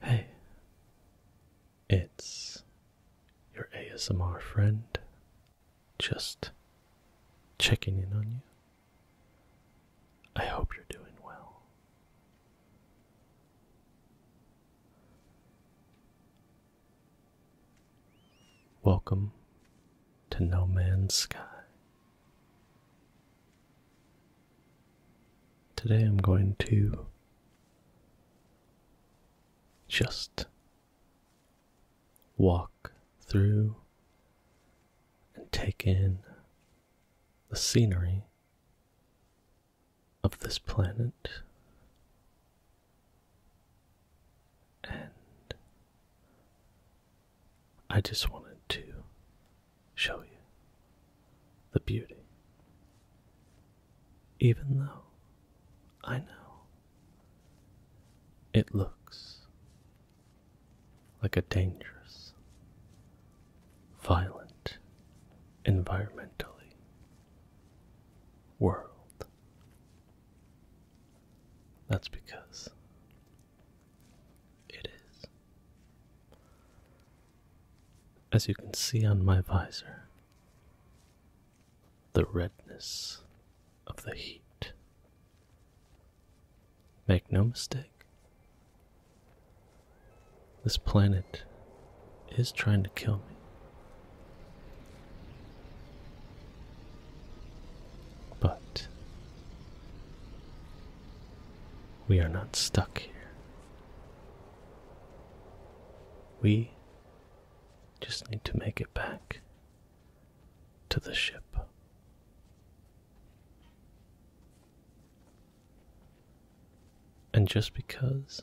Hey, it's your ASMR friend just checking in on you. I hope you're doing well. Welcome to No Man's Sky. Today I'm going to just walk through and take in the scenery of this planet and I just wanted to show you the beauty. Even though I know it looks like a dangerous, violent, environmentally world. That's because it is. As you can see on my visor, the redness of the heat. Make no mistake, this planet is trying to kill me. But we are not stuck here. We just need to make it back to the ship. And just because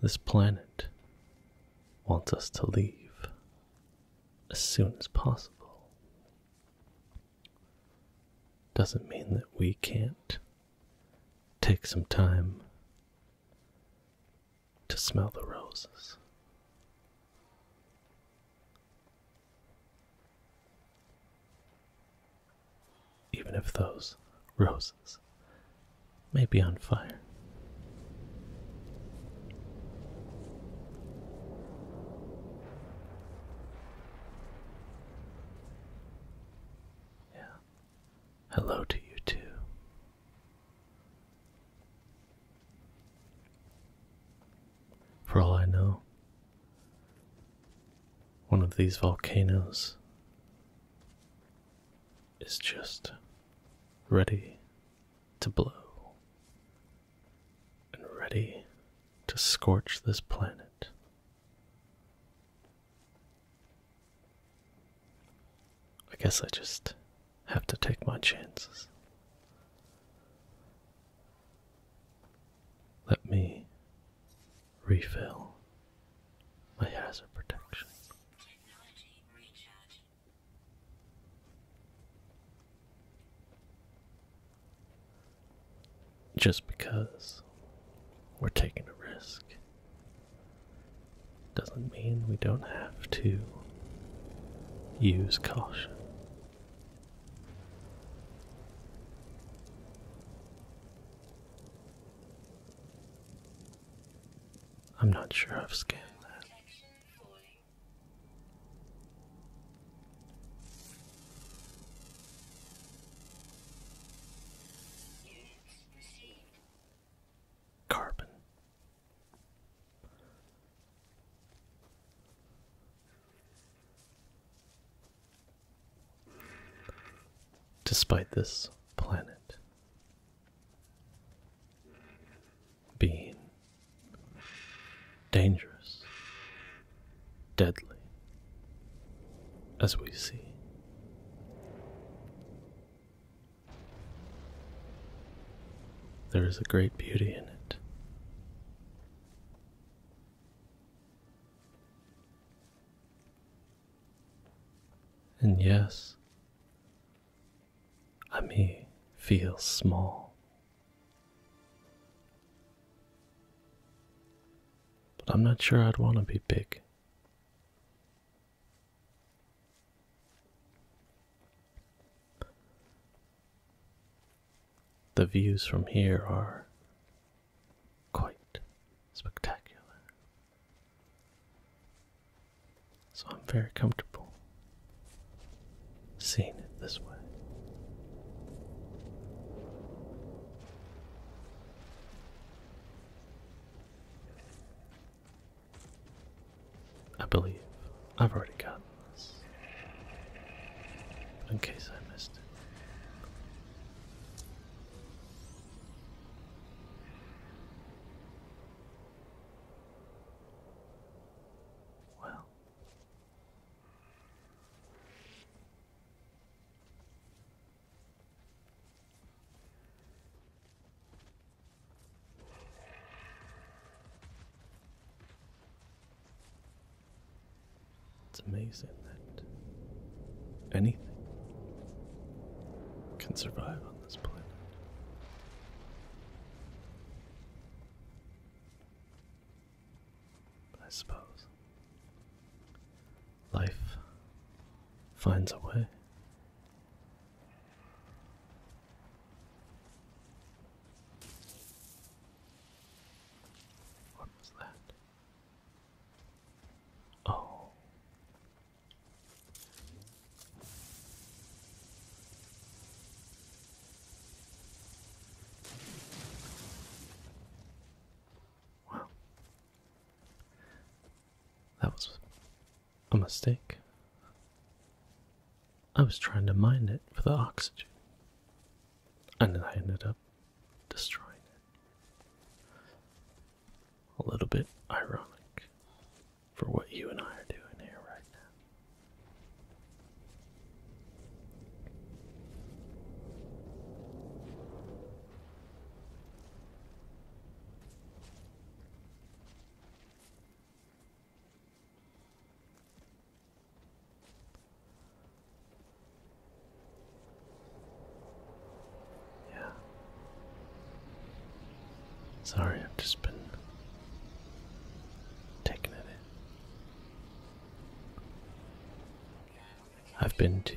this planet wants us to leave, as soon as possible doesn't mean that we can't take some time to smell the roses. Even if those roses may be on fire. Yeah. Hello to you too. For all I know, one of these volcanoes is just ready to blow and ready to scorch this planet. I guess I just have to take my chances. Let me refill my hazard protection. Just because we're taking a risk doesn't mean we don't have to use caution. I'm not sure I've scanned that. Carbon. Despite this planet being dangerous, deadly, as we see. There is a great beauty in it. And yes, I may feel small, but I'm not sure I'd want to be big. The views from here are quite spectacular. So I'm very comfortable seeing it this way. I believe I've already gotten this. in case I missed it. Well, it's amazing that anything can survive on this planet. I suppose life finds a way. What was that? Oh, Wow. That was a mistake. I was trying to mine it for the oxygen, and then I ended up destroying it. A little bit ironic for what you and I are doing here right now. Yeah, Sorry, I've just been taking it I've been to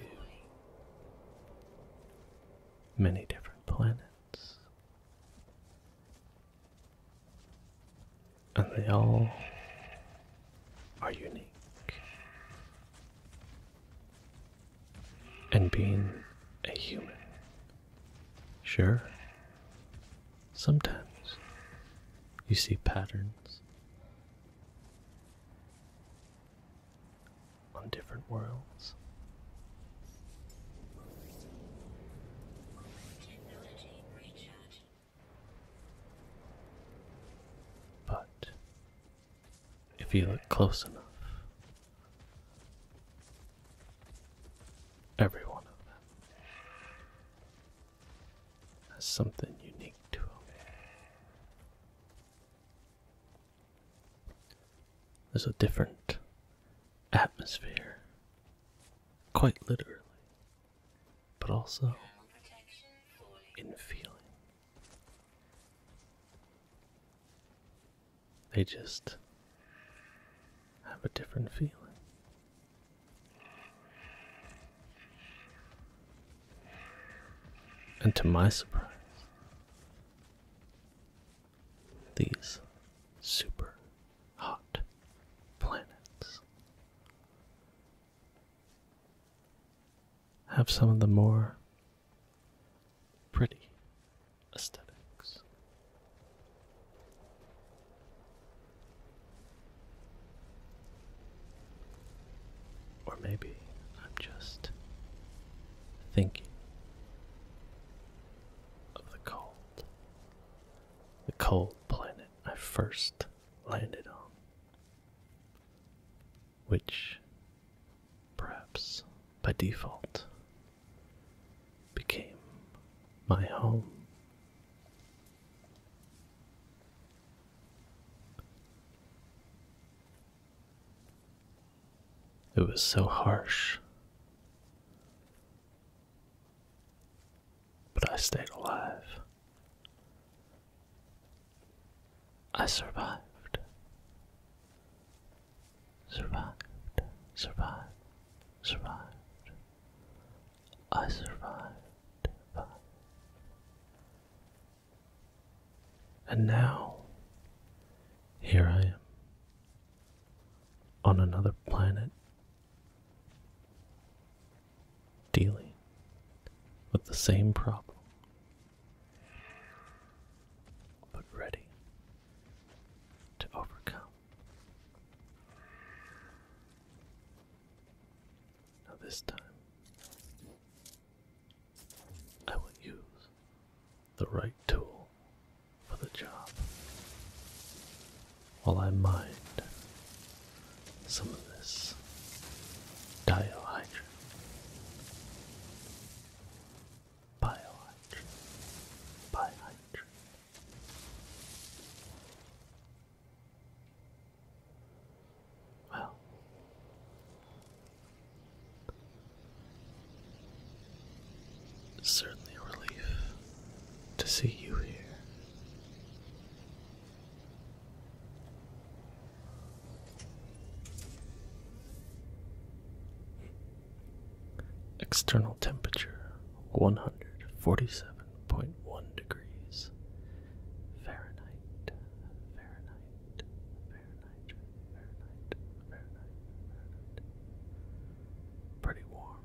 many different planets, and they all are unique and being a human. Sure, sometimes you see patterns on different worlds. But if you look close enough, Every one of them has something unique to them. There's a different atmosphere, quite literally, but also in feeling. They just have a different feeling. And to my surprise, these super hot planets have some of the more Pretty aesthetics. Or maybe I'm just thinking of the cold. The cold planet I first landed on, which perhaps by default, became my home. It was so harsh, but I stayed alive. I survived survived, survived, survived. I survived. And now, here I am, on another planet, dealing with the same problem but ready to overcome. Now, this time, I will use the right tool for the job while I mind some of this diohydrin. Biohydrogen. Biohydrogen. Well, certainly a relief to see you here. External temperature 147.1 degrees Fahrenheit, Fahrenheit, Fahrenheit, Fahrenheit, Fahrenheit, Pretty warm.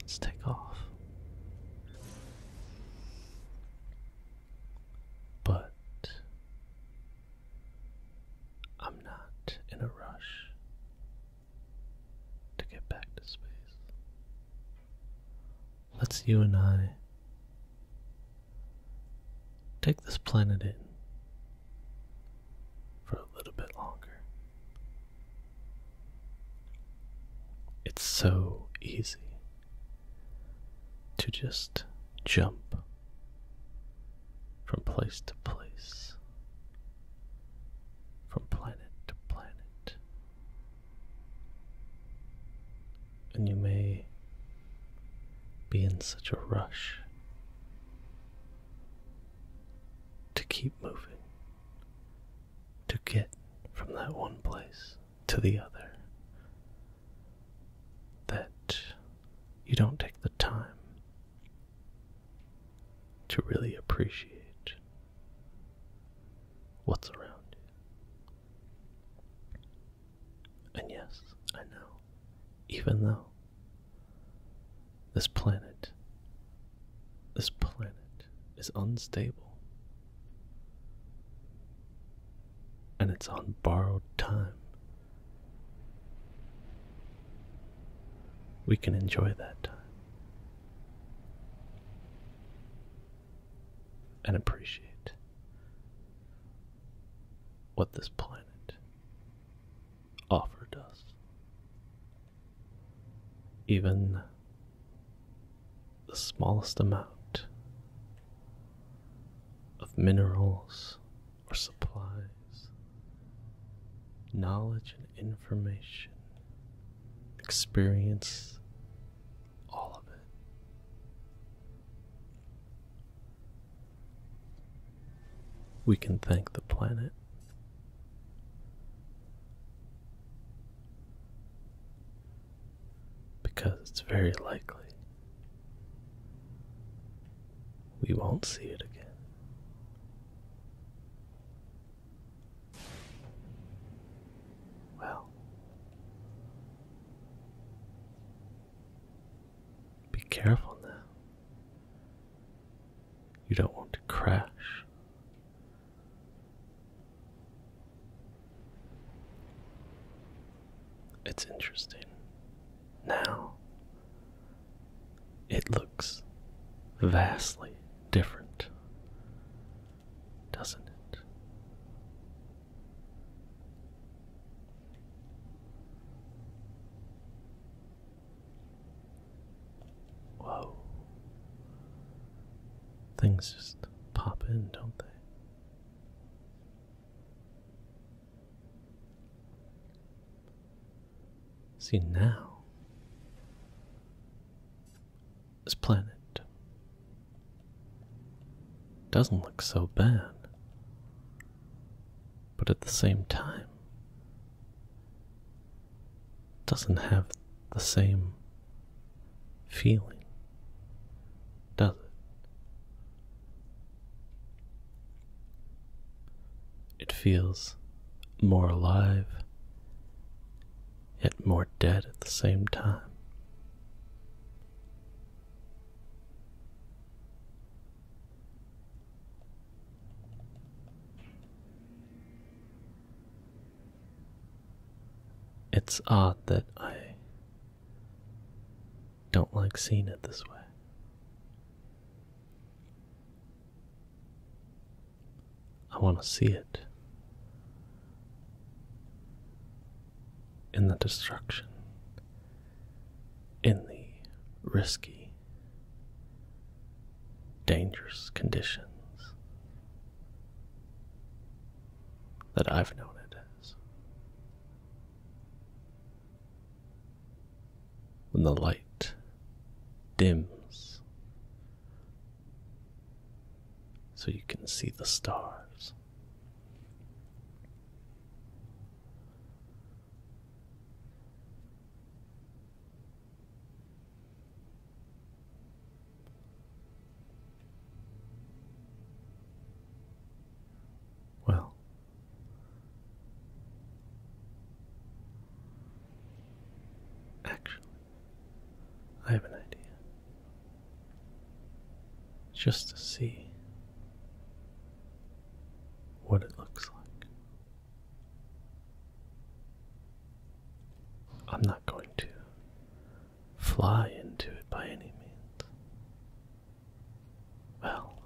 Let's take off but I'm not in a rush to get back to space. Let's you and I take this planet in for a little bit longer. It's so easy to just jump from place to place, from planet to planet. And you may be in such a rush to keep moving, to get from that one place to the other. That you don't take the time to really appreciate what's around you. And yes, I know, even though this planet, this planet is unstable and it's on borrowed time. We can enjoy that time and appreciate what this planet offered us. Even the smallest amount of minerals or supplies, knowledge and information, experience, all of it. We can thank the planet because it's very likely we won't see it again. Well, be careful now. You don't want to crash it's interesting. Now, it looks vastly different, doesn't it? Whoa. Things just pop in, don't they? See, now this planet doesn't look so bad, but at the same time, doesn't have the same feeling, does it? It feels more alive, yet more dead at the same time. It's odd that I don't like seeing it this way. I want to see it in the destruction, in the risky, dangerous conditions that I've known it as. When the light dims so you can see the stars. Well, actually, I have an idea. Just to see what it looks like. I'm not going to fly into it by any means. Well,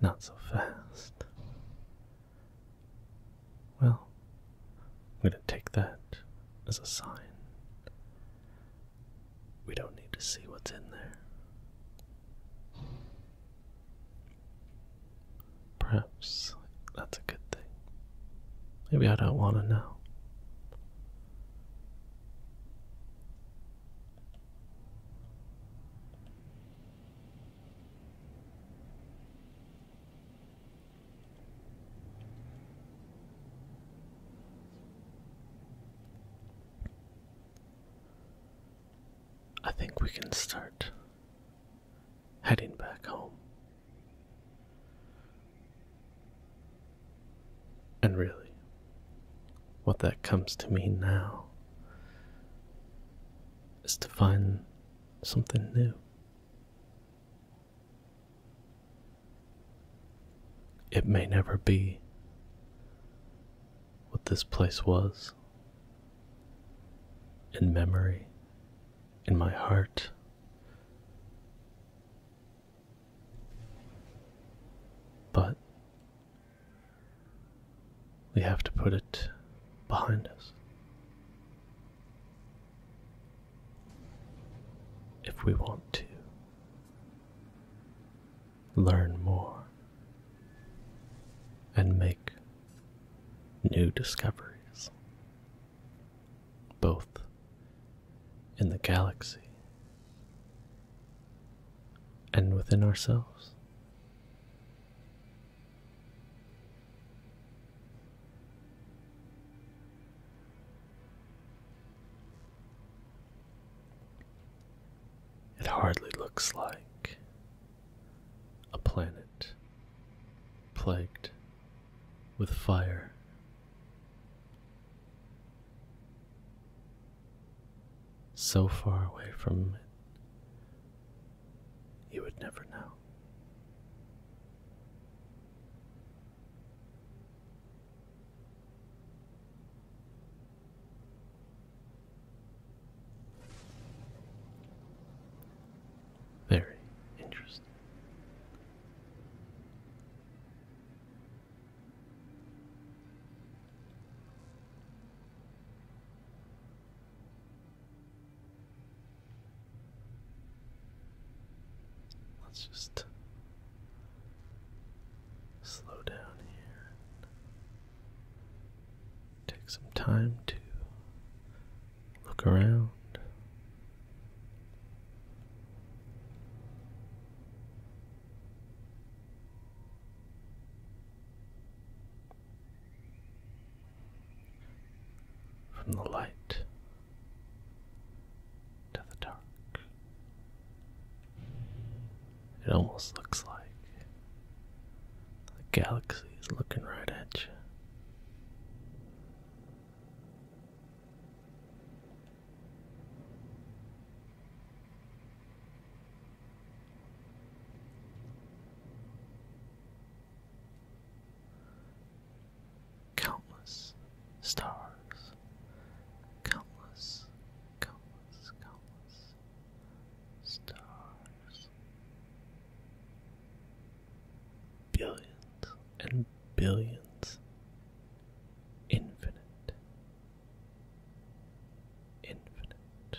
not so fast. Well, I'm going to take that as a sign. We don't need to see what's in there. Perhaps that's a good thing. Maybe I don't want to know. I think we can start heading back home. And really, what that comes to mean now is to find something new. It may never be what this place was in memory in my heart. But we have to put it behind us. If we want to learn more and make new discoveries both in the galaxy and within ourselves. It hardly looks like a planet plagued with fire. So far away from it, you would never know. Very interesting. Let's just slow down here. Take some time to Look around. From the light to the dark. It almost looks like the galaxy is looking right at you. Countless stars, countless, countless, countless stars billions and billions, infinite, infinite,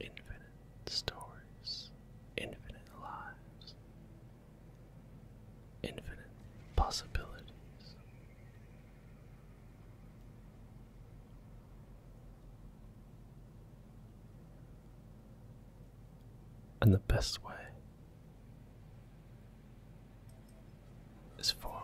infinite stories, infinite lives, infinite possibilities. And the best way is forward.